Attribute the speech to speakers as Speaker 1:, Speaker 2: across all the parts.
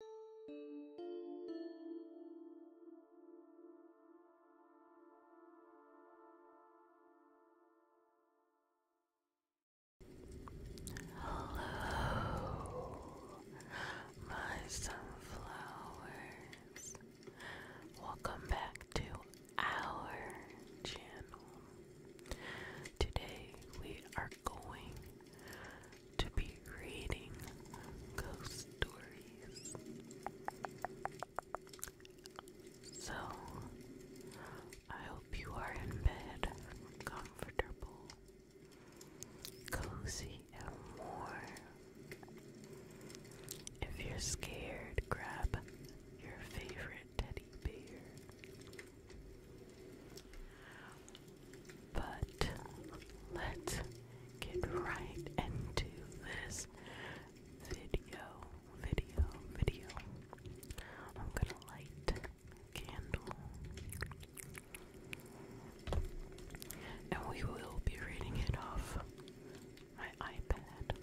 Speaker 1: Hello, my sunflowers. Welcome back to our channel. Today we are going to be reading ghost stories. So, I hope you are in bed, comfortable, cozy, and warm. If you're scared, grab your favorite teddy bear. But let's get right into this video, video, video. I'm gonna light a candle. And we will be reading it off my iPad.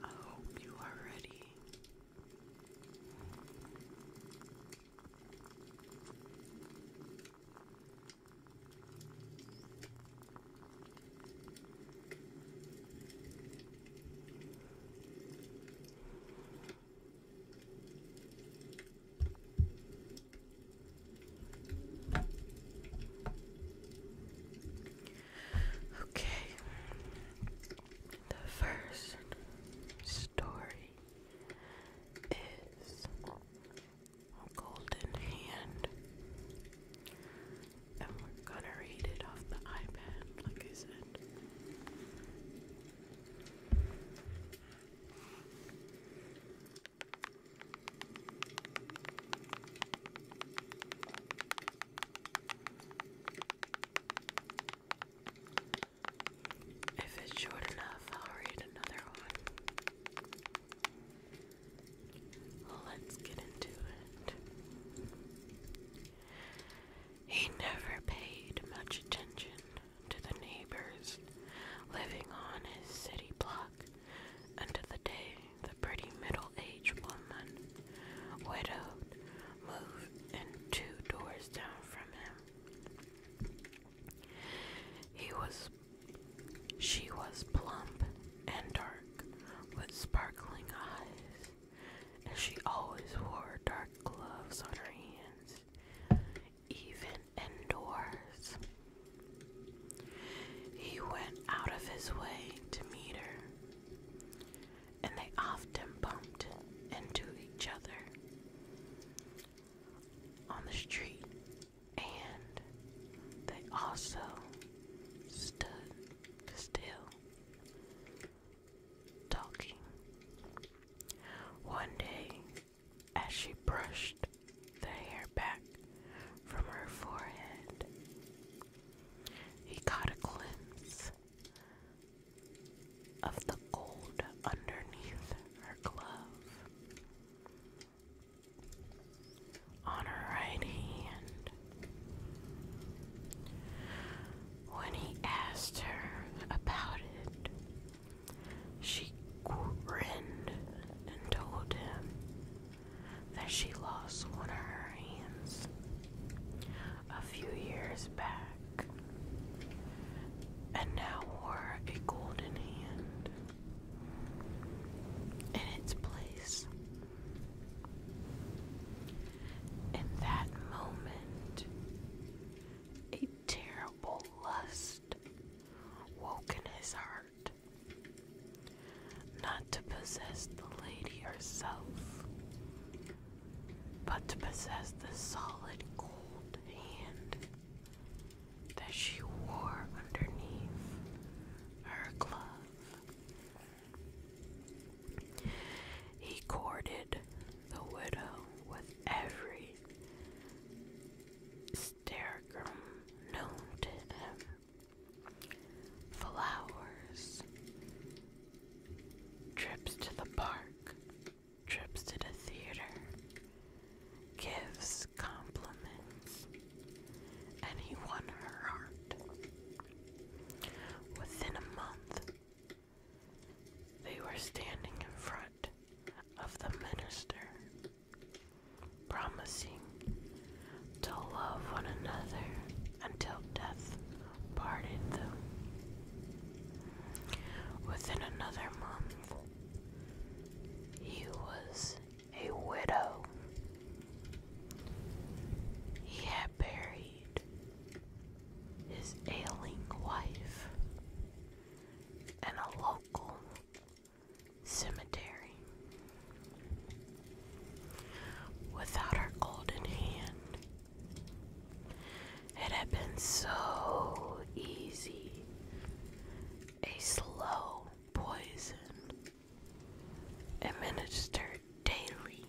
Speaker 1: I hope you are ready. Okay, the first story is golden hand. And we're gonna read it off the iPad, like I said. If it's short enough, I'll read another one. Let's get into it. He never paid much attention to the neighbors living on his city block until the day the pretty middle aged woman, widowed, moved in two doors down from him. He was she was plump and dark, with sparkling eyes, and she always wore dark gloves on her hands, even indoors. He went out of his way to meet her, and they often bumped into each other. On the street, and they also stood still, talking. One day, as she brushed the hair back from her forehead, he caught a glimpse of the gold underneath her glove on her right hand. When he asked her about it, she grinned and told him that she lost one of her hands a few years back and now wore a golden hand in its place. In that moment, a terrible lust woke in his heart. Not to possess the lady herself, but to possess the solid, cold hand that she wore underneath her glove. He courted the widow with every stergum known to him. Flowers, trips to the park, trips to the theater, gives compliments, and he won her heart. Within a month, they were standing in front of the minister, promising to love one another until death parted them. Within another month, he was a widow. He had buried his ailing wife in a local cemetery. Without her golden hand, it had been so easy. A slow poison administered daily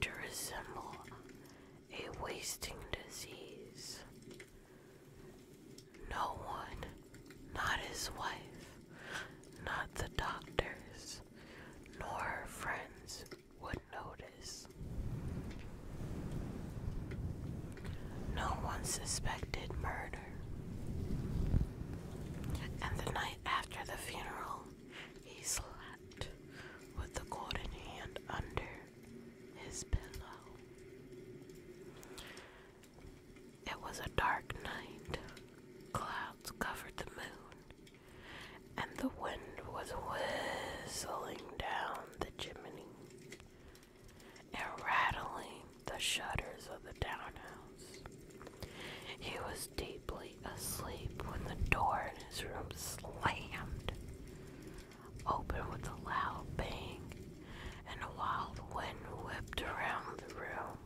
Speaker 1: to resemble a wasting disease. No one, not his wife, not the doctors, nor her friends would notice. No one suspected murder. And the night after the funeral, he slept with the golden hand under his pillow. It was a dark night. Clouds covered the moon, and the wind was whistling down the chimney and rattling the shutters of the townhouse. He was deeply asleep when the door in his room slammed open with a loud bang, and a wild wind whipped around the room,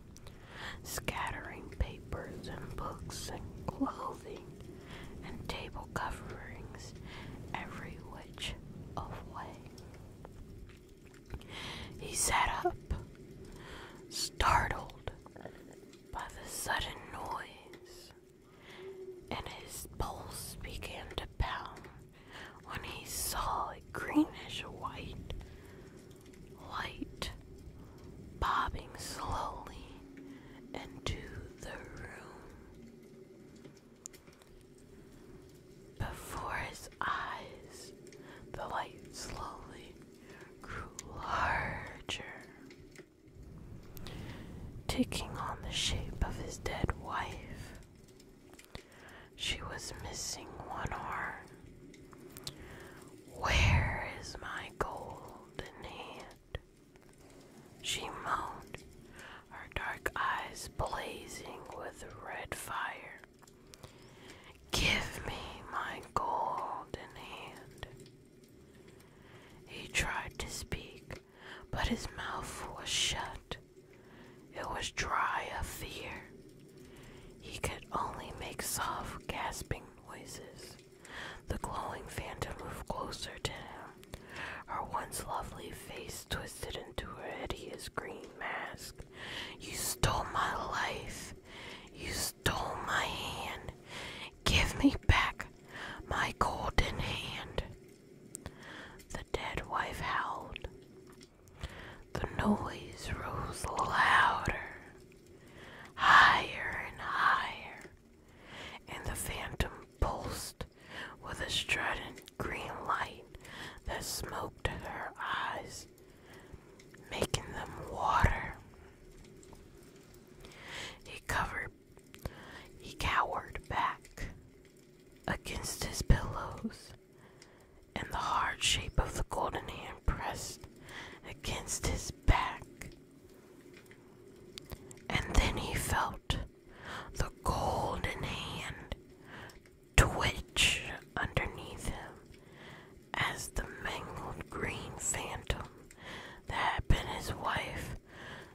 Speaker 1: scattering papers and books and clothing and table coverings every which of way. He sat up, startled by the sudden noise, and his pulse began to pound when he saw a greenish white light bobbing slowly into the room. Before his eyes, the light slowly grew larger, taking on the shape of his dead wife. She was missing one arm. Where is my golden hand? She moaned, her dark eyes blazing with red fire. Give me my golden hand. He tried to speak, but his mouth was shut. It was dry of fear. He could only make soft, gasping noises. The glowing phantom moved closer to him. Her once lovely face twisted into a hideous green mask. You stole my life. You stole my hand. Give me back my golden hand. The dead wife howled. The noise rose louder, higher and higher, and the phantom pulsed with a strident green light that smoked her eyes making them water. He covered he cowered back against his pillows, and the hard shape of the golden hand pressed against his back. And then he felt the golden hand twitch underneath him as the mangled green phantom that had been his wife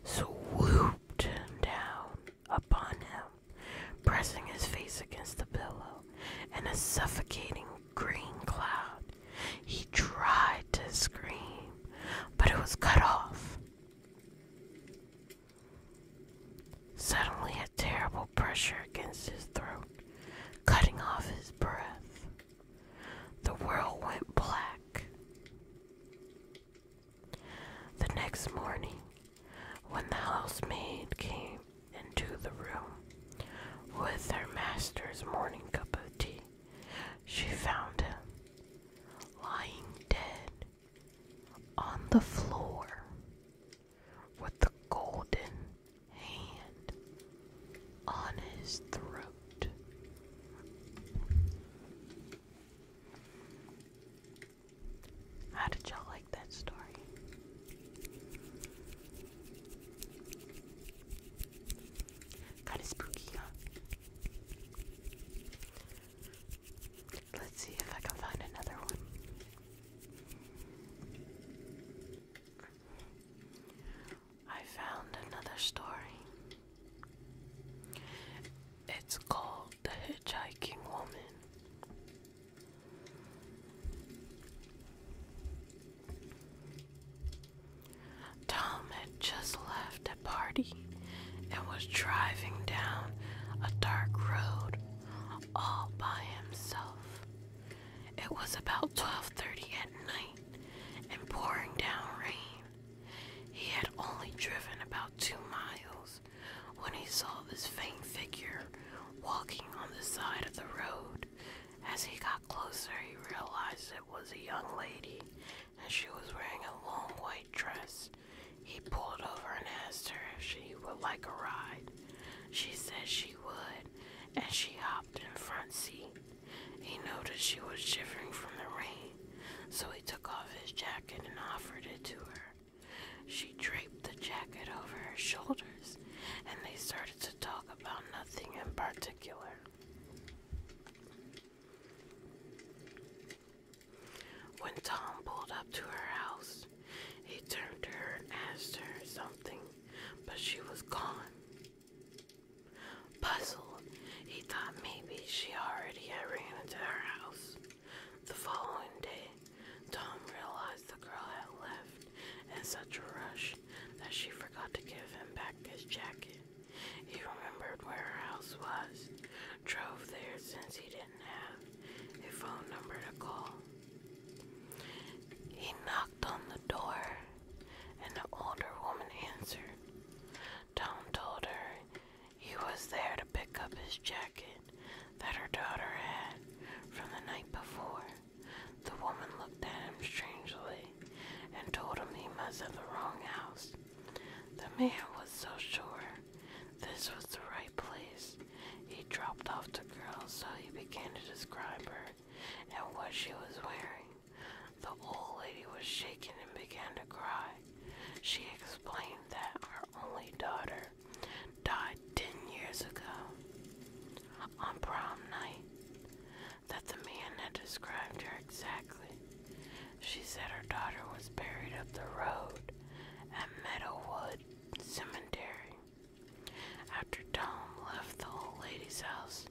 Speaker 1: swooped down upon him, pressing his face against the pillow in a suffocating green cloud. He tried to scream, but it was cut off. Suddenly, a terrible pressure against his throat, cutting off his breath. The world went black. The next morning, when the housemaid came into the room with her master's morning cup of tea, she found him lying dead on the floor with the golden hand on his throat. How did y'all like that story? Kind spooky, huh? Let's see if I can find another one. I found another story. It's called The Hitchhiking Woman. Tom had just left a party and was driving down a dark road all by himself it was about 12:30 at night and pouring down rain. He had only driven about 2 miles when he saw this faint figure walking on the side of the road. As he got closer, he realized it was a young lady and she was wearing a long white dress. He pulled over and asked her if she would like a ride. She said she would, and she hopped in front seat. He noticed she was shivering from the rain, so he took off his jacket and offered it to her. She draped the jacket over her shoulders, and they started to talk about nothing in particular. When Tom pulled up to her house, he turned to her and asked her something, but she was gone. Puzzled, he thought maybe she already had ran into her house. The following day, Tom realized the girl had left in such a rush that she forgot to give him back his jacket. He remembered where her house was, drove there since he didn't have a phone number to call. He knocked on the door, and the older woman answered. Tom told her he was there to pick up his jacket that her daughter had from the night before. The woman looked at him strangely and told him he must have the wrong house. The man was so sure this was the right place he dropped off the girl, so he began to describe her and what she was wearing. The old lady was shaken and began to cry. She explained that her only daughter died ten years ago on prom night, that the man had described her exactly. She said her daughter was buried up the road at Meadowwood Cemetery. After Tom left the old lady's house,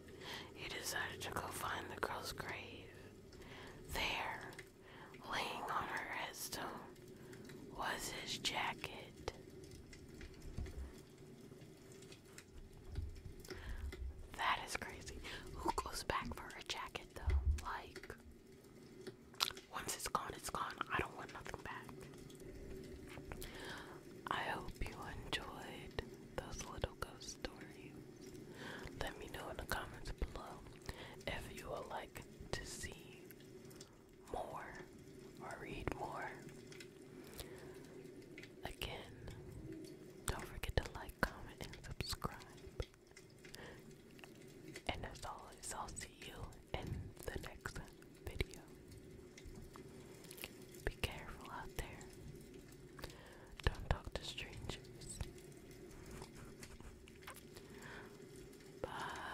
Speaker 1: he decided to go find the girl's grave. There, laying on her headstone, was his jacket. That is crazy. Who goes back for a jacket though? Like, once it's gone, it's gone. I don't want nothing back. I hope you enjoyed those little ghost stories. Let me know in the comments below if you would like to see more or read more. Again, don't forget to like, comment, and subscribe. And as always, I'll see you in the next video. Be careful out there. Don't talk to strangers. Bye.